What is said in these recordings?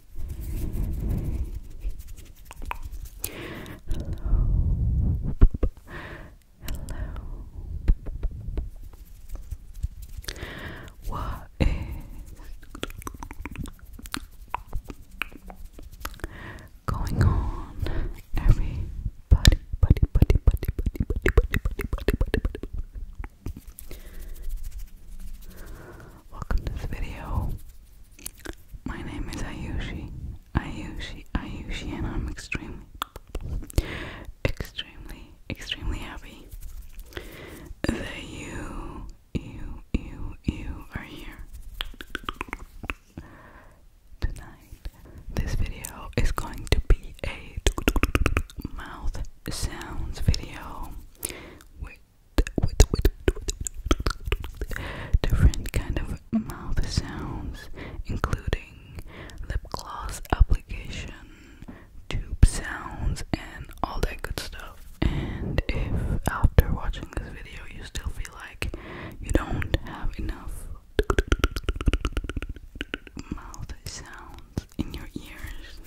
Hello. What is going on, everybody? Buddy, buddy, buddy, buddy, buddy, buddy, buddy, buddy, buddy, buddy, Welcome to this video. My name is Ayushi. Ayushi, Ayushi, and I'm extremely, extremely, extremely happy that you, you, you, you are here tonight. This video is going to be a mouth sounds video, different kind of mouth sounds, including lip gloss application, tube sounds, and all that good stuff. And if after watching this video you still feel like you don't have enough mouth sounds in your ears,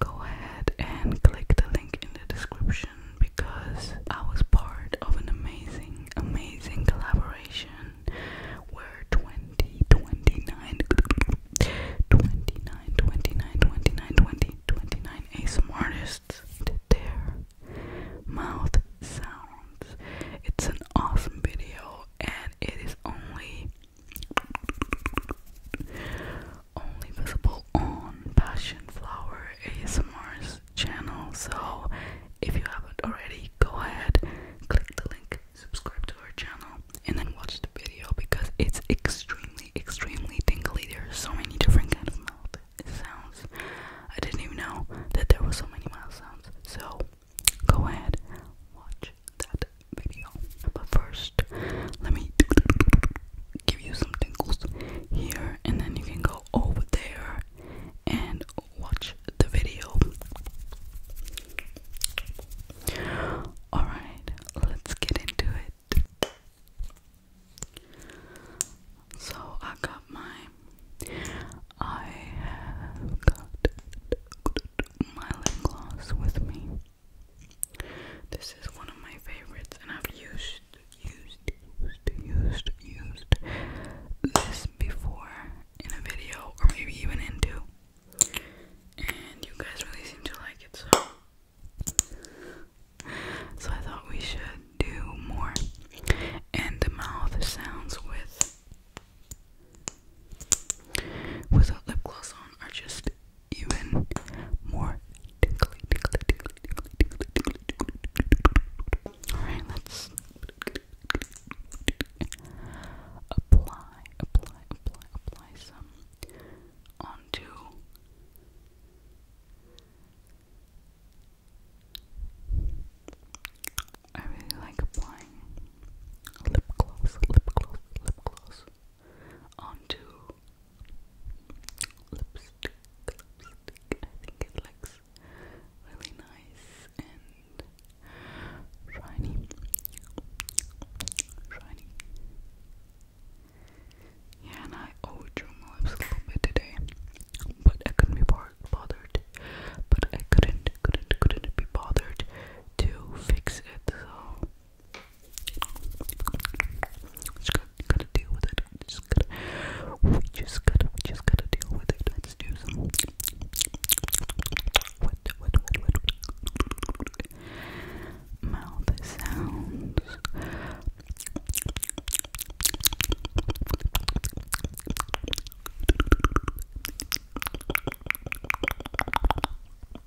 go ahead and click the link in the description because I was part of an amazing, amazing collaboration where 20, 29, 29, artists did their mouth sounds. It's an awesome video and it is only only visible on Passion Flower ASMR's channel. So if you haven't already, go ahead, click the link, subscribe to our channel, and then watch the video because it's extremely, extremely tingly. There are so many different kind of mouth sounds. I didn't even know that there were so many mouth sounds. So go ahead, watch that video. But first, let me give you some tingles here, and then you can go over there and watch the video. Alright, let's get into it. So I got my I have got my lip gloss with me. This is one of my favorites, and I've used, used, used, used, used this before in a video, or maybe even into. And you guys really seem to like it, so so I thought we should do more. And the mouth sounds with with without lip gloss on are just even more tingly, tingly, tingly, tingly, tingly, tingly, tingly. Alright, let's apply, apply, apply, apply some onto I really like applying lip gloss, lip gloss, lip gloss onto lipstick. Lipstick. I think it looks really nice and shiny. Shiny. Yeah, and I overdrew my lips a little bit today, but I couldn't be bothered. But I couldn't, couldn't, couldn't be bothered to fix it. So we just gotta, we just gotta deal with it. Let's do some. Mouth sounds.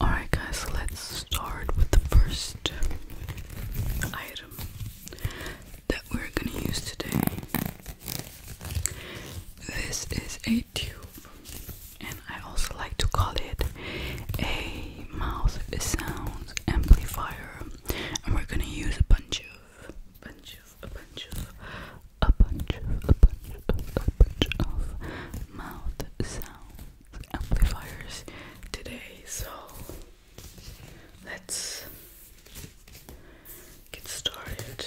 Alright, guys, so let's start with the first item that we're gonna use today. This is a tube, and I also like to call it a mouth sounds amplifier. And we're gonna use a bunch of a bunch of, a bunch of, a bunch of, a bunch of mouth sound amplifiers today. So let's get started.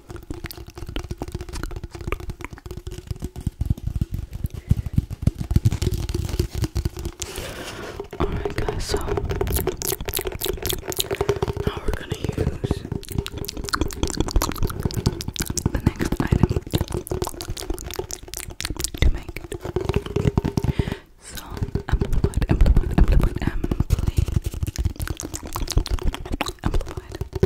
Alright, guys, so now we're gonna use the next item to make it. So, amplified, amplified, amplified, amplified, amplified.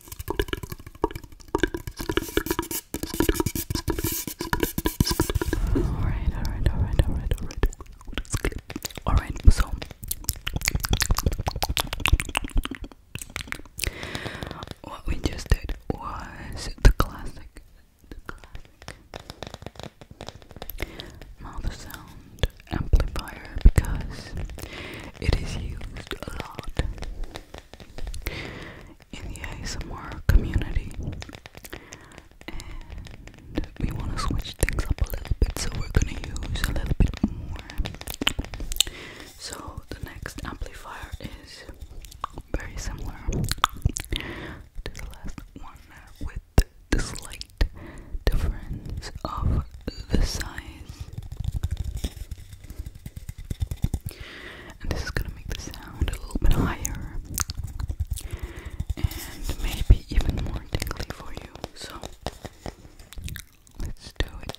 Alright, alright, alright, alright, alright. Alright, so what we just did was the classic, mouth sound amplifier because it is used a lot in the ASMR community, we want to switch things up a little bit, so we're gonna use a little bit more. So, the next amplifier is very similar to the last one with slight difference of the size. And this is gonna make the sound a little bit higher and maybe even more tingly for you. So let's do it.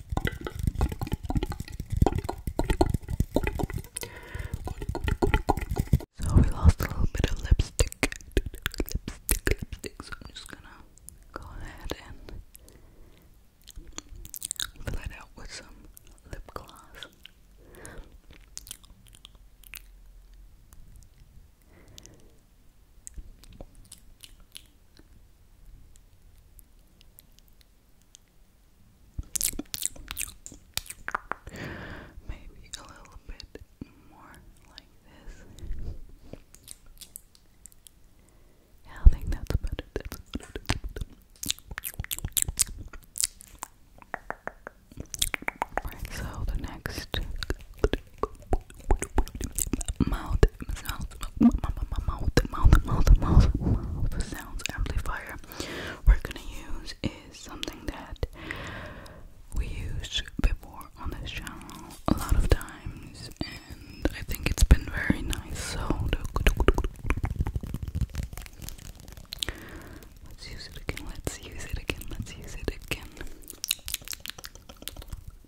So we lost a little bit of lipstick. Lipstick, lipstick. So I'm just gonna go ahead and fill it out with some lip gloss. Maybe a little bit more like this. I think that's better. That's better. Alright, so the next mouth the mouth, mouth, mouth, mouth, mouth, mouth sounds amplifier we're gonna use is something that we used before on this channel a lot of times, and I think it's been very nice. So let's use it again. Let's use it again. Let's use it again.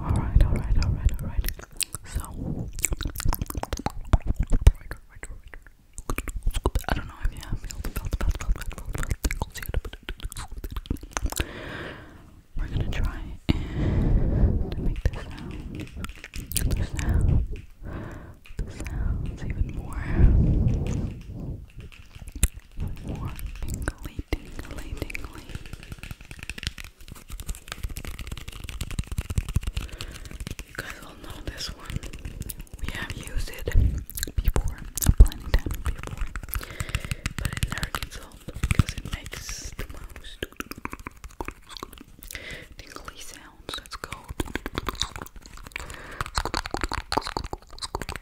Alright, alright, alright, alright. So I don't know if you felt felt felt felt felt felt we're gonna try and make the sound the sound the sounds even more more tingly, tingly, tingly. You guys all know this one. We have used it before, plenty time before, but it never gets old because it makes the most tingly sounds. Let's go.